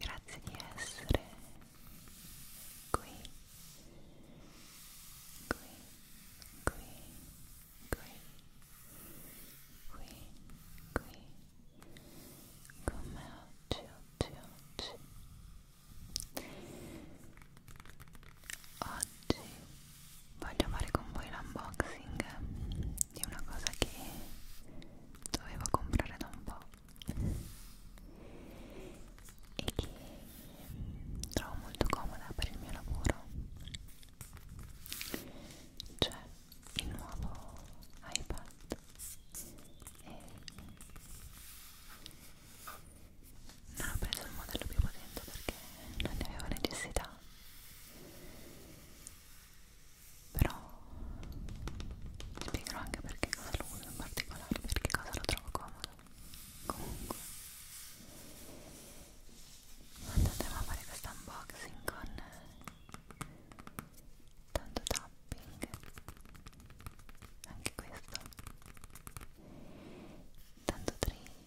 Grazie di essere qui, qui, qui, qui, qui, qui, con me oggi, oggi, oggi. Oggi voglio fare con voi l'unboxing di una cosa che dovevo comprare da un po' e che trovo molto comoda per il mio lavoro cioè il nuovo iPad e non ho preso il modello più potente perché non ne avevo necessità però ti spiegherò anche perché cosa lo uso in particolare perché cosa lo trovo comodo comunque andatemi a fare questo unboxing con tanto tapping anche questo tanto tracing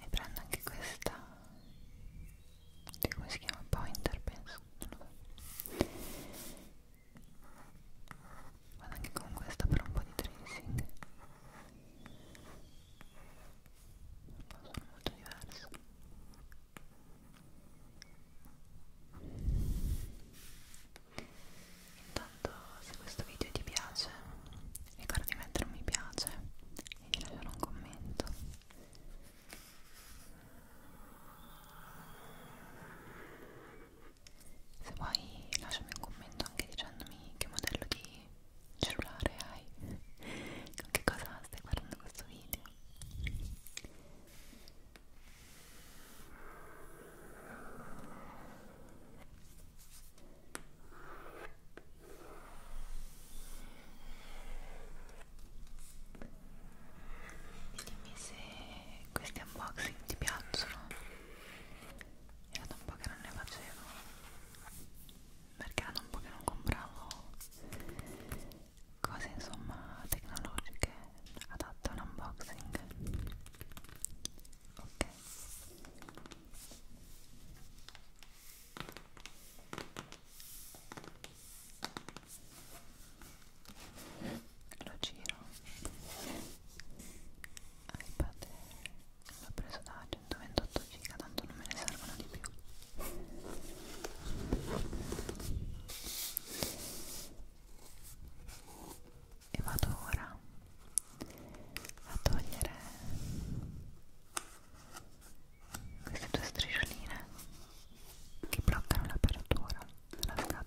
e prendo anche questa come si chiama? pointer penso vado anche con questa per un po' di tracing sono molto diverse intanto se questo video ti piace ricorda di mettere un mi piace e di lasciare un commento se vuoi lasciami un commento anche dicendomi che modello di cellulare hai? Con che cosa stai guardando questo video? Dimmi se questi unboxing ti piacciono. Era da un po' che non ne facevo perché era da un po' che non compravo cose insomma tecnologiche adatte a un unboxing ok lo giro iPad l'ho preso da 128 giga tanto non me ne servono di più e vado ora a togliere queste due striscioline che bloccano l'apertura della scatola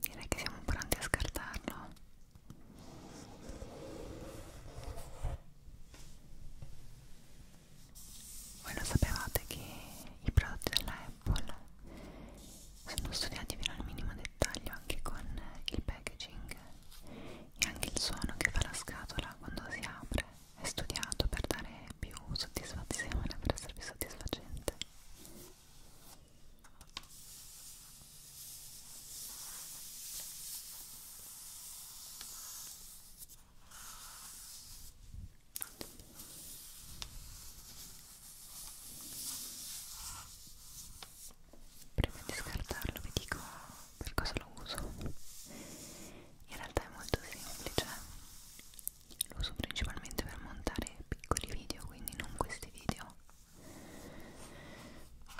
Direi che siamo pronti a scartarlo. Voi lo sapevate che i prodotti della Apple sono studiati fino al minimo dettaglio anche con il packaging e anche il suono che fa la scatola quando si apre è studiato per dare più soddisfazione, per essere più soddisfacente. Prima di scartarlo vi dico per cosa lo uso. In realtà è molto semplice. Lo uso principalmente per montare piccoli video, quindi non questi video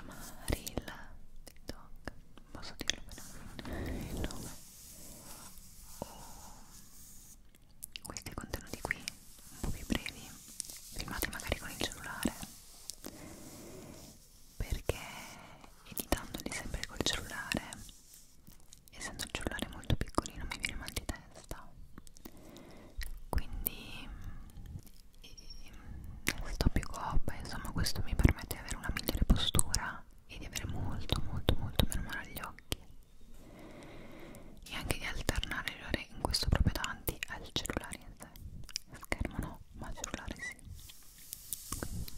Marilla TikTok posso dirlo bene il nome o questi contenuti qui un po' più brevi filmati magari con il cellulare perché editandoli sempre col cellulare essendo il cellulare molto piccolino mi viene mal di testa quindi sto più coppa insomma questo mi permette di avere una migliore postura e di avere molto molto molto meno male agli occhi e anche di alternare le ore in questo proprio davanti al cellulare in sé schermo no ma cellulare sì Quindi. Okay.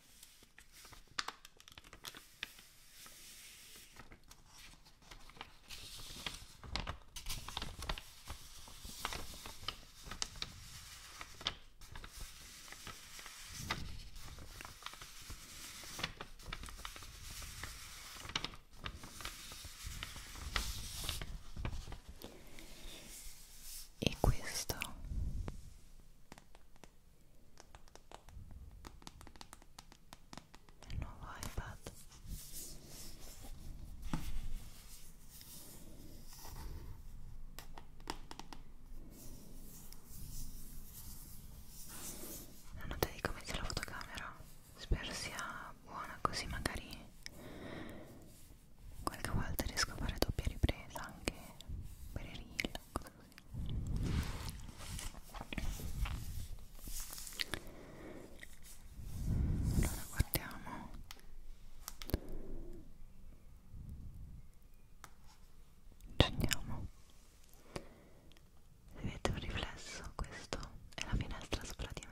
E questo il nuovo iPad non ho idea di come sia la fotocamera spero sia buona così magari qualche volta riesco a fare doppia ripresa anche per i reel allora guardiamo accendiamo si vede un riflesso questo è la finestra sopra di me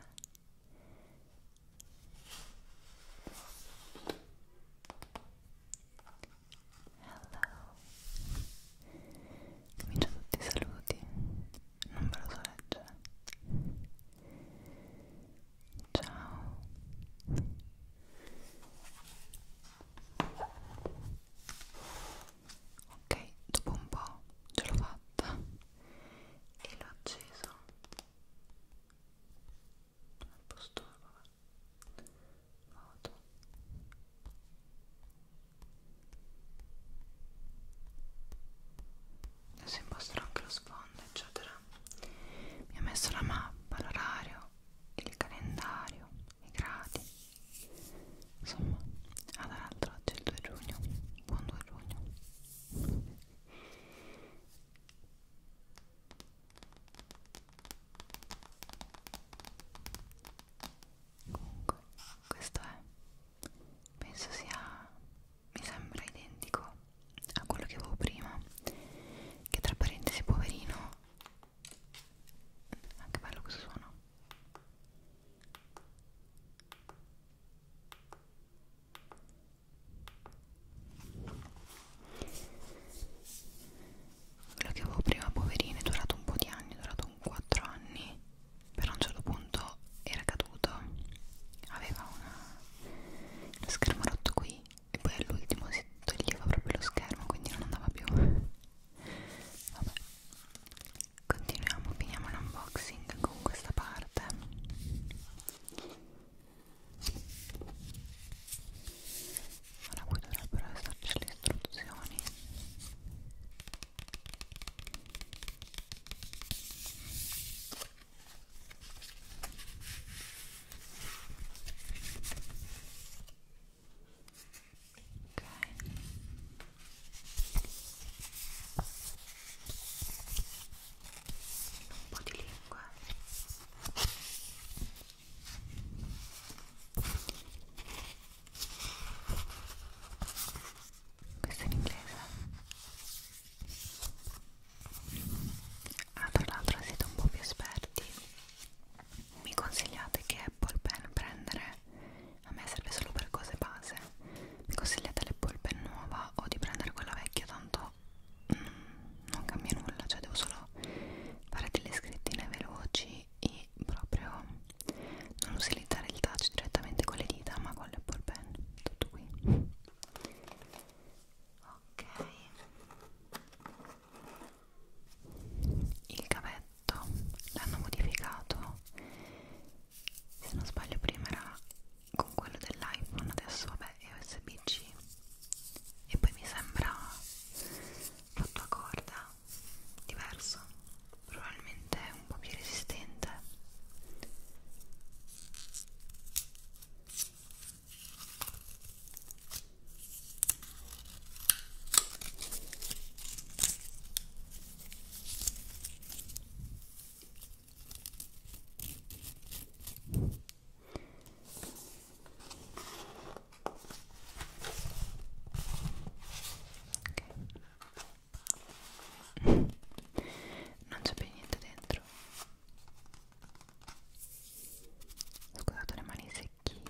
Hello Comincio tutti i saluti Non ve lo so leggere Ciao Ok, dopo un po' ce l'ho fatta e l'ho acceso al posto vabbè. moto adesso impostro anche lo sfondo eccetera mi ha messo la mappa, l'orario il calendario, i gradi insomma ah dall'altro oggi è il 2 giugno buon 2 giugno comunque questo è penso sia mi sembra identico a quello che avevo prima che tra parentesi poverino anche ah, bello questo suono quello che avevo prima poverino è durato un po' di anni, è durato un 4 anni però a un certo punto era caduto aveva una, lo schermo rotto qui e poi all'ultimo si toglieva proprio lo schermo quindi non andava più vabbè continuiamo, finiamo l'unboxing con questa parte Ora qui dovrebbero esserci le istruzioni ok un po' di lingua questo è in inglese ah tra l'altro siete un po' più esperti mi consigliate che Apple Pen prendere a me serve solo per cose base mi consigliate l'Apple Pen nuova o di prendere quella vecchia tanto tutto mm, non cambia nulla, cioè devo solo fare delle scrittine veloci e proprio non utilizzare il touch direttamente con le dita ma con l'apple pen, tutto qui ok il cavetto l'hanno modificato se non sbaglio prima era con quello dell'iPhone adesso vabbè è USB-C e poi mi sembra fatto a corda diverso probabilmente un po' più resistente Okay. Non c'è più niente dentro. Scusate le mani secchissime.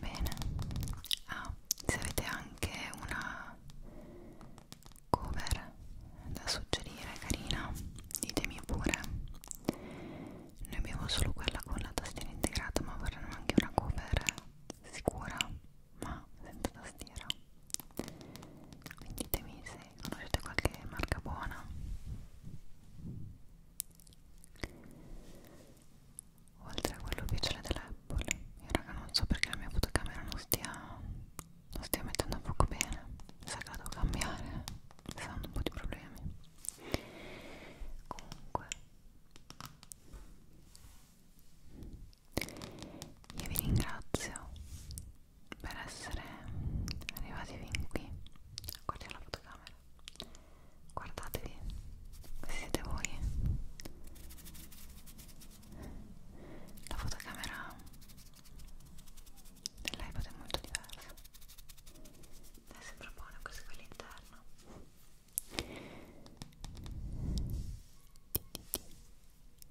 Bene, ah, se avete anche una cover da suggerire carina, ditemi pure. Noi abbiamo solo quella con la tastiera integrata, ma vorremmo anche una cover sicura ma senza tastiera quindi ditemi se conoscete qualche marca buona oltre a quello ufficiale dell'Apple io raga non so perché la mia fotocamera non stia non stia mettendo a fuoco bene sa che la devo cambiare sta dando un po' di problemi comunque io vi ringrazio per essere arrivati fin qui guardate la fotocamera guardatevi questi siete voi la fotocamera dell'iPad è molto diversa adesso propone questo qui all'interno ci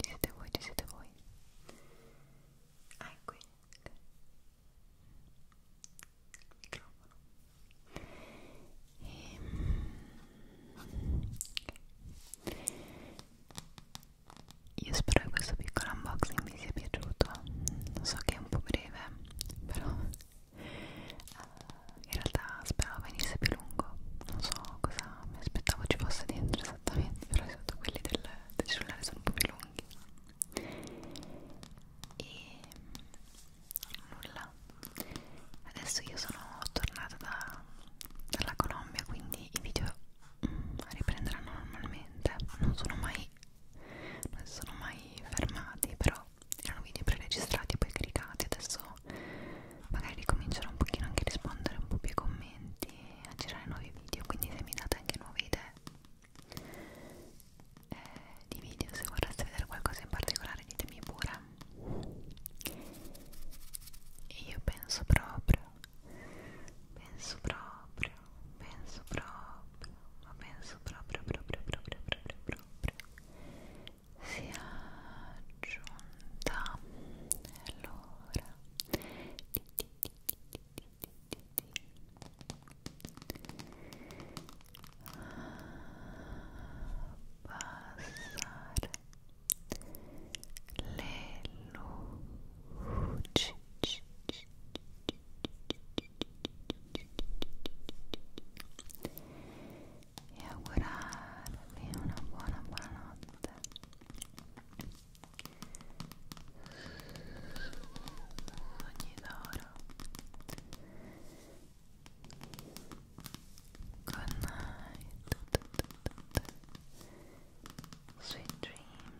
siete voi, ci siete voi. Ah, è qui. Okay. Microfono. E... Okay. Io spero che questo piccolo unboxing vi sia piaciuto. Lo so che è un po' breve, però uh, in realtà speravo venisse più lungo non so cosa mi aspettavo ci fosse dentro esattamente però esatto, quelli del, del cellulare sono un po' più lunghi e nulla adesso io sono tornata da, dalla Colombia quindi i video mm, riprenderanno normalmente non sono mai non si sono mai fermati però erano video preregistrati e poi caricati adesso magari ricomincerò un pochino anche a rispondere un po' più ai commenti e a girare nuovi video quindi se mi date anche nuove idee eh, di video se vorreste vedere qualcosa in particolare ditemi pure e io penso proprio penso proprio penso proprio ma penso proprio proprio proprio proprio proprio proprio si è aggiunta allora di, di, di, di, di, di, di. passare le luci c, c, c, c, c, c, e augurarvi una buona good night sweet dreams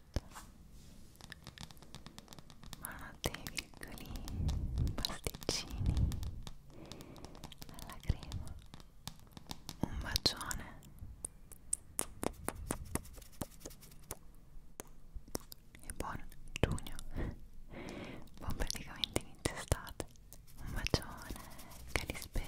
certo Notte, virgoli, pasticcini alla crema Un bacione E buon giugno Buon praticamente inizio estate Un bacione, carispera